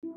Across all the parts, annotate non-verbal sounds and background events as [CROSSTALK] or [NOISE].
Ciao,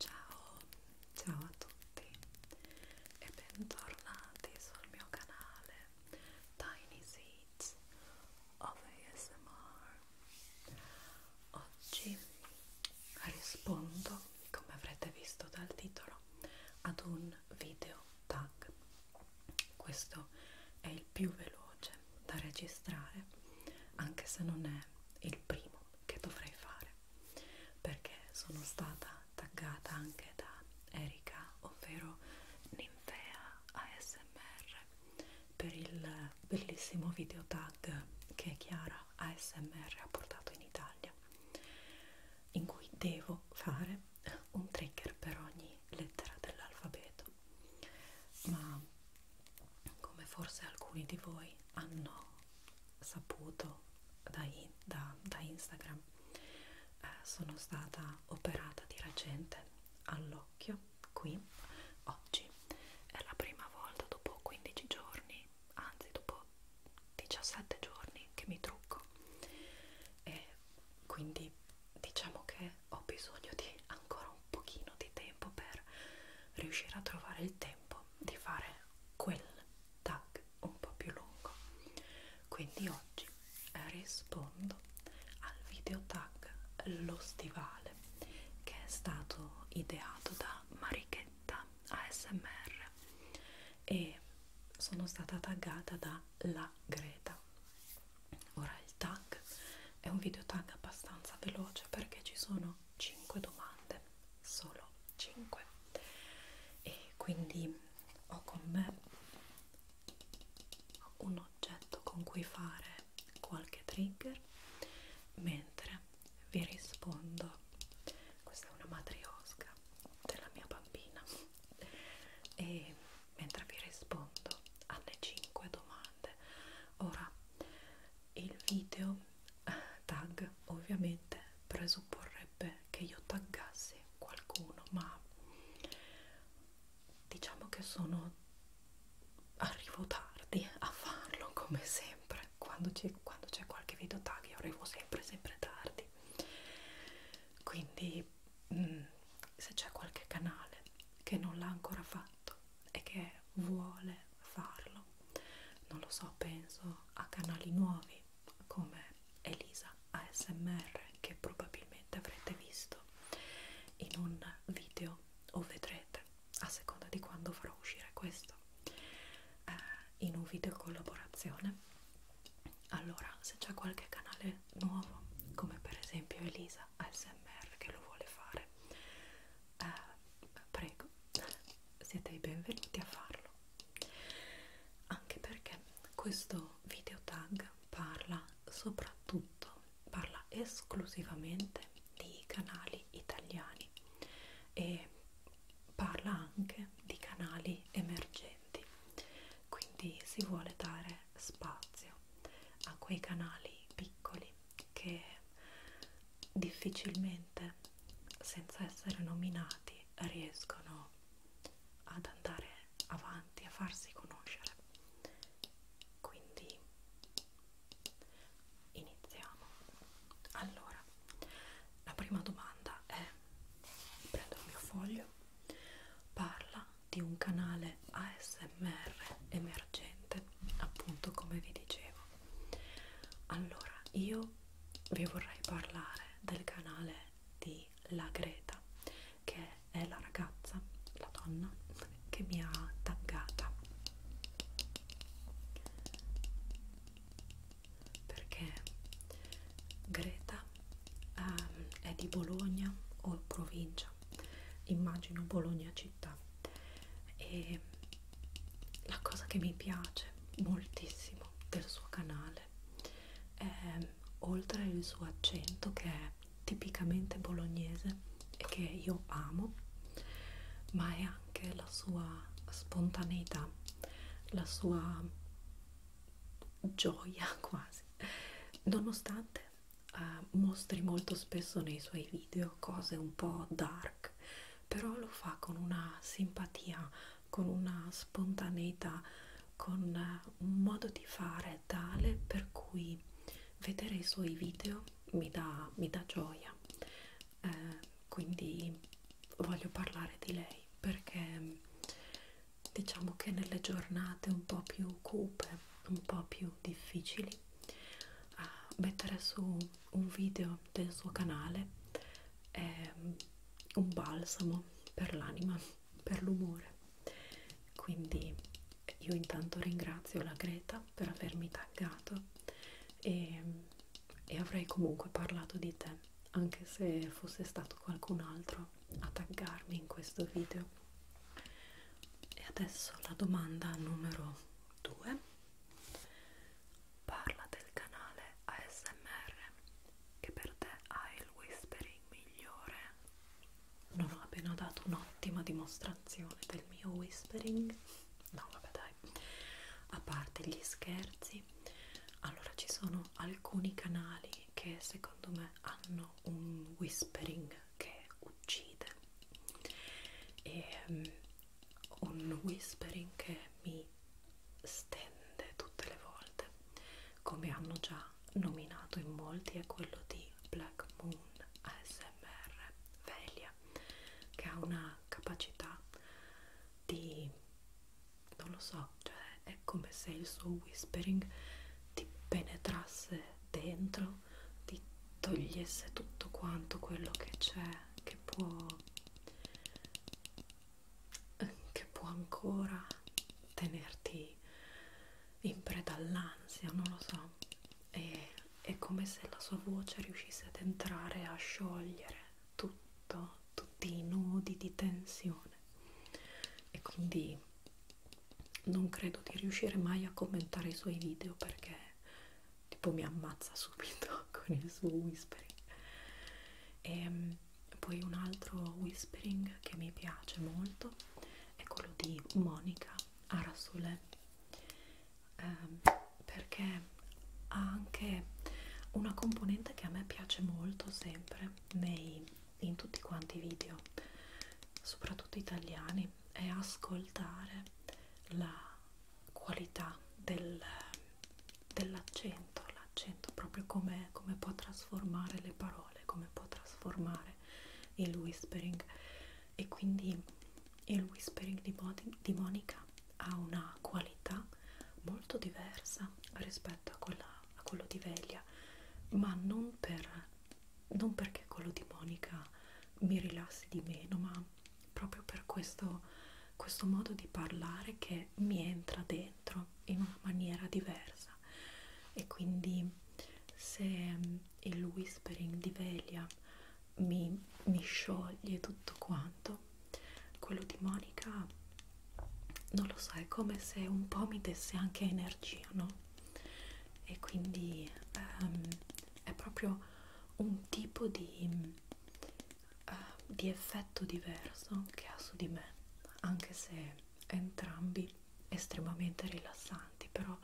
ciao a tutti e bentornati sul mio canale Tiny Seeds of ASMR. Oggi rispondo, come avrete visto dal titolo, ad un un video tag questo è il più veloce da registrare anche se non è il primo che dovrei fare perché sono stata taggata anche da Erika ovvero Ninfea ASMR per il bellissimo video tag che Chiara ASMR ha portato in Italia in cui devo fare un trigger per ogni lettera dell'alfabeto ma come forse alcuni di voi hanno saputo da, in, da, da Instagram eh, sono stata operata di recente all'occhio qui oggi è la prima volta dopo 15 giorni anzi dopo 17 giorni che mi trucco e quindi diciamo che ho bisogno di ancora un pochino di tempo per riuscire a trovare il tempo di fare quel tag un po' più lungo quindi oggi eh, rispondo al video tag lo stivale che è stato ideato da Marichetta ASMR e sono stata taggata da La Greta. Ora il tag è un video tag abbastanza veloce perché ci sono 5 domande, solo 5. E quindi ho con me un oggetto con cui fare qualche trigger mentre vi rispondo. Questa è una matriosca della mia bambina e mentre vi rispondo alle 5 domande ora il video eh, tag ovviamente presupporrebbe che io taggassi qualcuno ma diciamo che sono arrivo tardi a farlo come sempre quando c'è qualche video tag io arrivo sempre sempre tardi quindi quindi mm, mh, se c'è qualche canale che non l'ha ancora fatto e che vuole farlo, non lo so, penso a canali nuovi come Elisa ASMR che probabilmente avrete visto in un video o vedrete a seconda di quando farò uscire questo eh, in un video collaborazione allora se c'è qualche canale nuovo come per esempio Elisa ASMR che lo vuole fare eh, prego siete i benvenuti a farlo anche perché questo video tag parla soprattutto parla esclusivamente di canali italiani e parla anche di canali emergenti differenti quindi si vuole dare spazio a quei canali piccoli che difficilmente senza essere nominati riescono ad andare avanti a farsi conoscere quindi iniziamo allora la prima domanda è prendo il mio foglio video parla di un canale ASMR emergente, appunto come vi dicevo. Allora, io vi vorrei parlare del canale di La Greta, che è la ragazza, la donna che mi ha taggata perché Greta ehm, è di Bologna o provincia, immagino Bologna città e la cosa che mi piace moltissimo del suo canale è oltre il suo accento che è tipicamente bolognese e che io amo, ma è anche la sua spontaneità, la sua gioia [LAUGHS] quasi nonostante uh, mostri molto spesso nei suoi video cose un po' dark però lo fa con una simpatia con una spontaneità con uh, un modo di fare tale per cui vedere i suoi video mi dà, mi dà gioia eh, quindi voglio parlare di lei perché diciamo che nelle giornate un po' più cupe, un po' più difficili, uh, mettere su un video del suo canale è un balsamo per l'anima, per l'umore. Quindi io intanto ringrazio la Greta per avermi taggato e, e avrei comunque parlato di te anche se fosse stato qualcun altro a taggarmi in questo video e adesso la domanda numero 2 parla del canale ASMR che per te ha il whispering migliore non ho appena dato un'ottima dimostrazione del mio whispering no vabbè dai a parte gli scherzi allora ci sono sono alcuni canali che secondo me hanno un whispering che uccide e um, un whispering che mi stende tutte le volte come hanno già nominato in molti è quello di Black Moon ASMR Velia che ha una capacità di non lo so, cioè è come se il suo whispering ti penetrasse dentro, ti togliesse tutto quanto quello che c'è, che può che può ancora tenerti in preda all'ansia, non lo so. E, è come se la sua voce riuscisse ad entrare a sciogliere tutto, tutti i nodi di tensione e quindi non credo di riuscire mai a commentare i suoi video perché tipo mi ammazza [LAUGHS] subito con il suo whispering e ehm, poi un altro whispering che mi piace molto è quello di Monica Arasole eh, perché ha anche una componente che a me piace molto sempre nei, in tutti quanti i video, soprattutto italiani, è ascoltare la qualità del, dell'accento, l'accento proprio come, come può trasformare le parole, come può trasformare il whispering e quindi il whispering di, Modi, di Monica ha una qualità molto diversa rispetto a, quella, a quello di Veglia, ma non, per, non perché quello di Monica mi rilassi di meno, ma proprio per questo, questo modo di parlare che mi entra dentro in una maniera diversa. E quindi se mm, il whispering di Veglia mi, mi scioglie tutto quanto, quello di Monica non lo so è come se un po' mi desse anche energia no e quindi um, è proprio un tipo di, uh, di effetto diverso che ha su di me anche se entrambi estremamente rilassanti però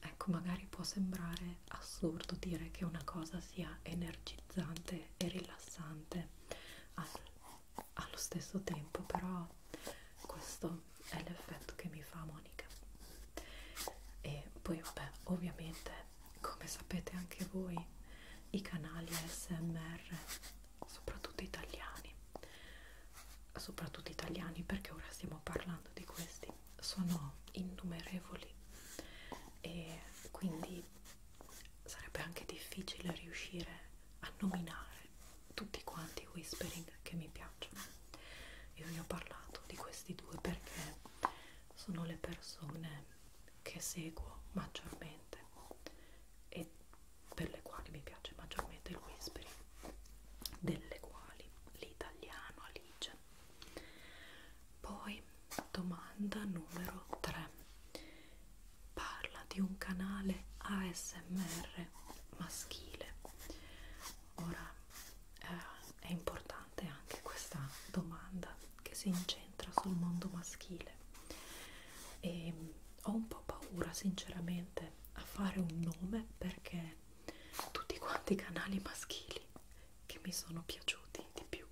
ecco magari può sembrare assurdo dire che una cosa sia energizzante piacevole e rilassante All allo stesso tempo però questo è l'effetto che mi fa Monica e poi vabbè ovviamente come sapete anche voi i canali ASMR soprattutto italiani soprattutto italiani perché ora stiamo parlando di questi sono innumerevoli e quindi sarebbe anche difficile riuscire a nominare tutti quanti i whispering che mi piacciono. Io vi ho parlato di questi due perché sono le persone che seguo maggiormente e per le quali mi piace maggiormente il whispering, delle quali l'italiano Alice. Poi Domanda numero 3. Parla di un canale ASMR maschile. Ora eh, è importante anche questa domanda che si incentra sul mondo maschile. E ho un po' paura sinceramente a fare un nome perché tutti quanti i canali maschili che mi sono piaciuti di più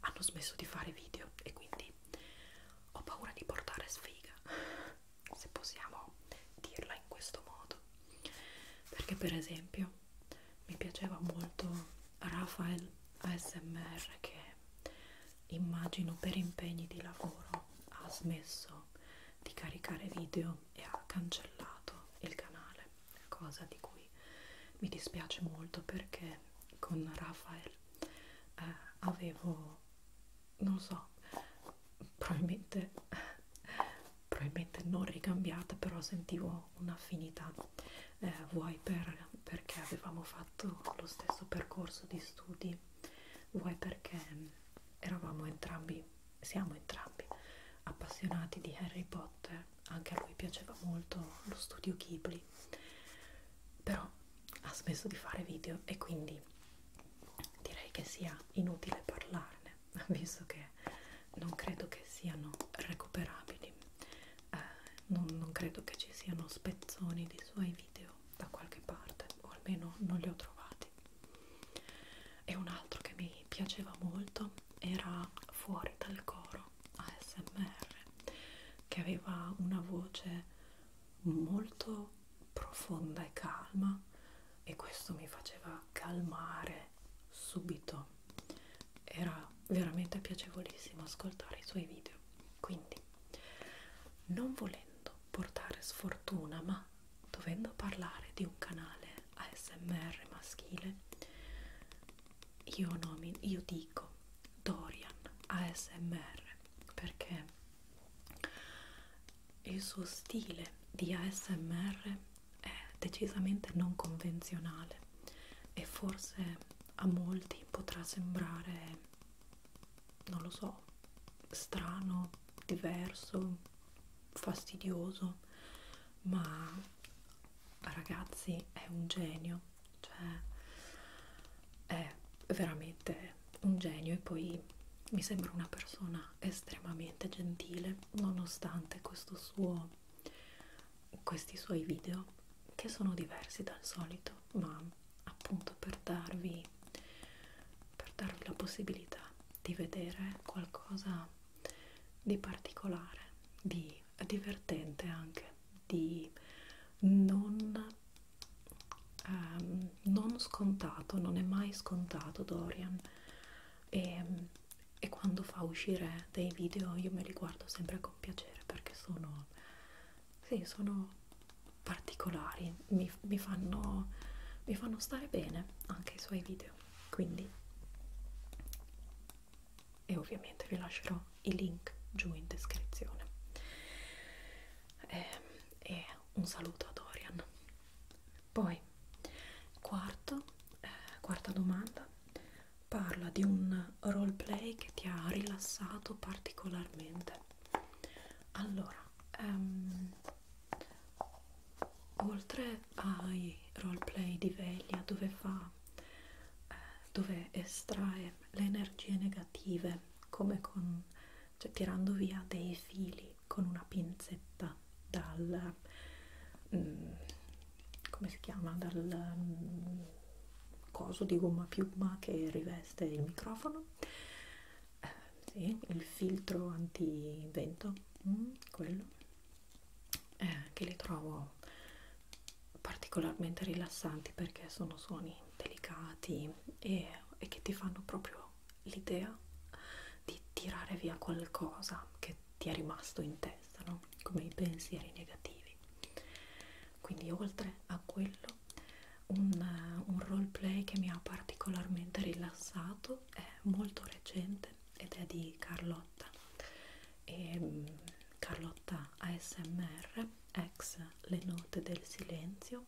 hanno smesso di fare video e quindi ho paura di portare sfiga se possiamo dirla in questo modo perché per esempio mi piaceva molto Rafael ASMR che immagino per impegni di lavoro ha smesso di caricare video e ha cancellato il canale cosa di cui mi dispiace molto perché con Rafael eh, avevo, non so, probabilmente, probabilmente non ricambiata, però sentivo un'affinità, eh, vuoi per, perché avevamo fatto lo stesso percorso di studi, vuoi perché eravamo entrambi, siamo entrambi appassionati di Harry Potter anche a lui piaceva molto lo studio Ghibli però ha smesso di fare video e quindi direi che sia inutile parlarne [LAUGHS] visto che non credo che siano recuperabili eh, non, non credo che ci siano spezzoni dei suoi video da qualche parte o almeno non li ho trovati e un altro che mi piaceva molto era fuori dal coro ASMR che aveva una voce molto profonda e calma e questo mi faceva calmare subito era veramente piacevolissimo ascoltare i suoi video quindi non volendo portare sfortuna ma dovendo parlare di un canale ASMR maschile io nomino, io dico Dorian ASMR perché il suo stile di ASMR è decisamente non convenzionale e forse a molti potrà sembrare non lo so strano diverso fastidioso ma ragazzi è un genio, cioè è veramente un genio e poi mi sembra una persona estremamente gentile nonostante questo suo, questi suoi video che sono diversi dal solito, ma appunto per darvi, per darvi la possibilità di vedere qualcosa di particolare, di quindi è divertente anche di non, ehm, non scontato, non è mai scontato Dorian e, e quando fa uscire dei video io me li guardo sempre con piacere perché sono, sì, sono particolari, mi, mi, fanno, mi fanno stare bene anche i suoi video, quindi e ovviamente vi lascerò i link giù in descrizione e, ehm, e un saluto a Dorian poi quarto, eh, quarta domanda parla di un roleplay che ti ha rilassato particolarmente allora um, oltre oppure ai roleplay di veglia dove fa eh, dove estrae le energie negative come con cioè tirando via dei fili con una pinzetta dal mm, come si chiama dal mm, coso di gomma piuma che riveste il microfono eh, sì, il filtro antivento mm, quello eh, che le trovo particolarmente rilassanti perché sono suoni delicati e, e che ti fanno proprio l'idea di tirare via qualcosa che ti è rimasto in testa, no? come i pensieri negativi. Quindi oltre a quello, un, un roleplay che mi ha particolarmente rilassato è molto recente ed è di Carlotta Carlotta e ehm, Carlotta ASMR ex Le Note del Silenzio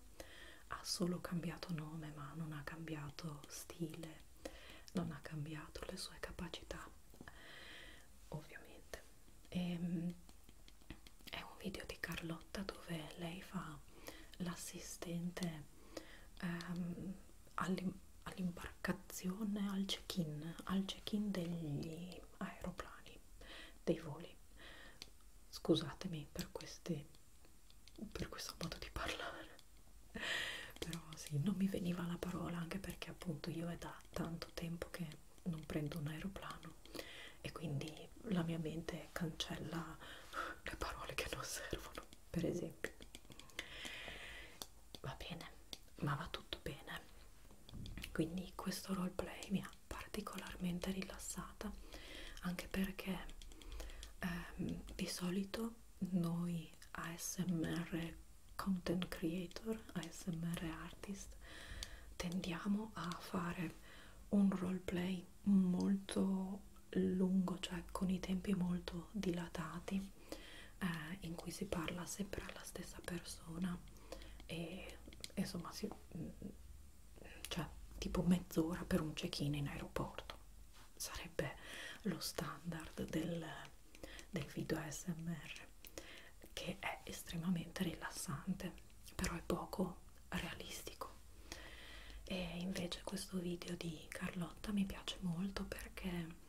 ha solo cambiato nome ma non ha cambiato stile non ha cambiato le sue capacità ovviamente e, ehm, è un video di Carlotta dove lei fa l'assistente ehm, all'imbarcazione, al check-in, al check-in degli aeroplani, dei voli. Scusatemi per, questi, per questo modo di parlare, però sì, non mi veniva la parola anche perché appunto io è da tanto tempo che non prendo un aeroplano e quindi la mia mente cancella le parole che non servono, per esempio va bene, ma va tutto bene. Quindi questo roleplay mi ha particolarmente rilassata, anche perché ehm, di solito noi ASMR content creator, ASMR artist, tendiamo a fare un roleplay molto lungo, cioè con i tempi molto dilatati eh, in cui si parla sempre alla stessa persona e insomma si, mm, cioè tipo mezz'ora per un check-in in aeroporto sarebbe lo standard del, del video ASMR che è estremamente rilassante però è poco realistico e invece questo video di Carlotta mi piace molto perché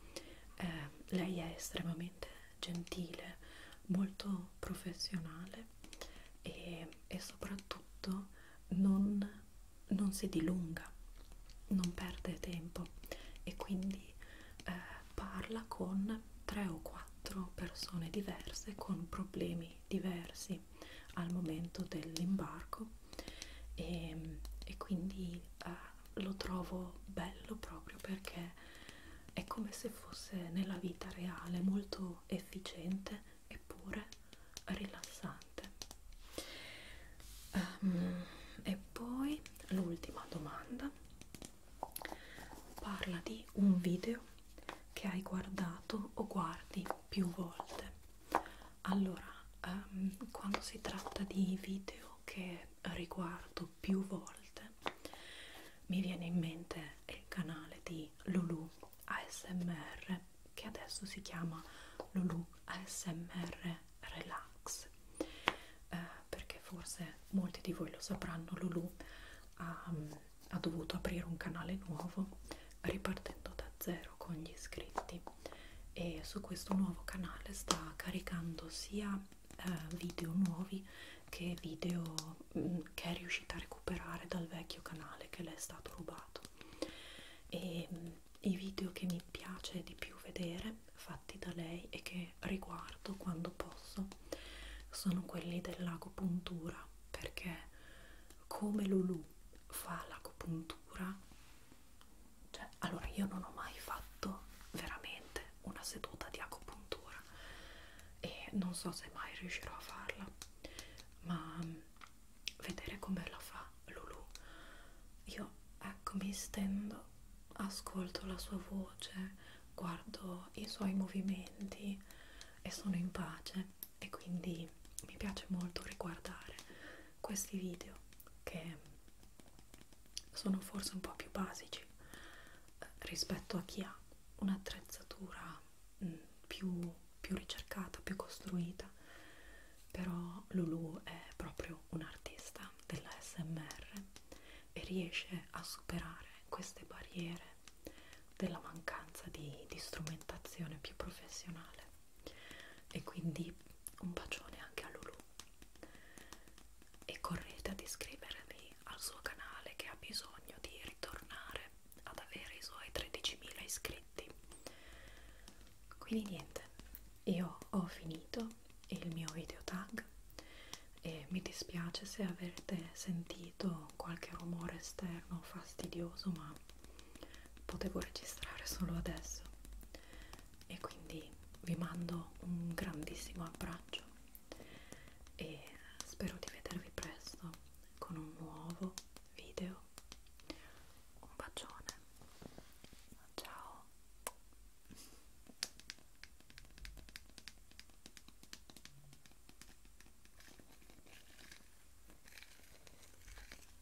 eh, lei è estremamente gentile, molto professionale e, e soprattutto non, non si dilunga, non perde tempo e quindi eh, parla con tre o quattro persone diverse con problemi diversi al momento dell'imbarco e, ehm, e quindi eh, lo trovo bello proprio perché è come se fosse nella vita reale molto efficiente eppure rilassante um, e poi l'ultima domanda parla di un video che hai guardato o guardi più volte allora, um, quando si tratta di video che riguardo più volte, mi viene in mente il canale di Lulu ASMR che adesso si chiama Lulu ASMR Relax eh, perché forse molti di voi lo sapranno Lulu ha, ha dovuto aprire un canale nuovo ripartendo da zero con gli iscritti e su questo nuovo canale sta caricando sia eh, video nuovi che video mh, mm, che è riuscita a recuperare dal vecchio canale che le è stato rubato e mh, mm, i video che mi piace di più vedere fatti da lei e che riguardo quando posso sono quelli dell'agopuntura perché come Lulu fa l'agopuntura cioè, allora io non ho mai fatto veramente una seduta di acupuntura e non so se mai riuscirò a farla, ma mm, vedere come la fa Lulu. Io ecco mi stendo, ascolto la sua voce, guardo i suoi movimenti e sono in pace e quindi mi piace molto riguardare questi video che sono forse un po' più basici eh, rispetto a chi ha un'attrezzatura mm, più, più ricercata, più costruita però Lulu è proprio un artista della SMR e riesce a superare queste barriere della mancanza di, di strumentazione più professionale e quindi un bacione anche a Lulu e correte ad iscrivervi al suo canale che ha bisogno di ritornare ad avere i suoi 13.000 iscritti quindi niente io ho finito il mio video tag e mi dispiace se avete sentito qualche rumore esterno fastidioso ma ma potevo registrare solo adesso e quindi vi mando un grandissimo abbraccio e spero di vedervi presto con un nuovo video un bacione ciao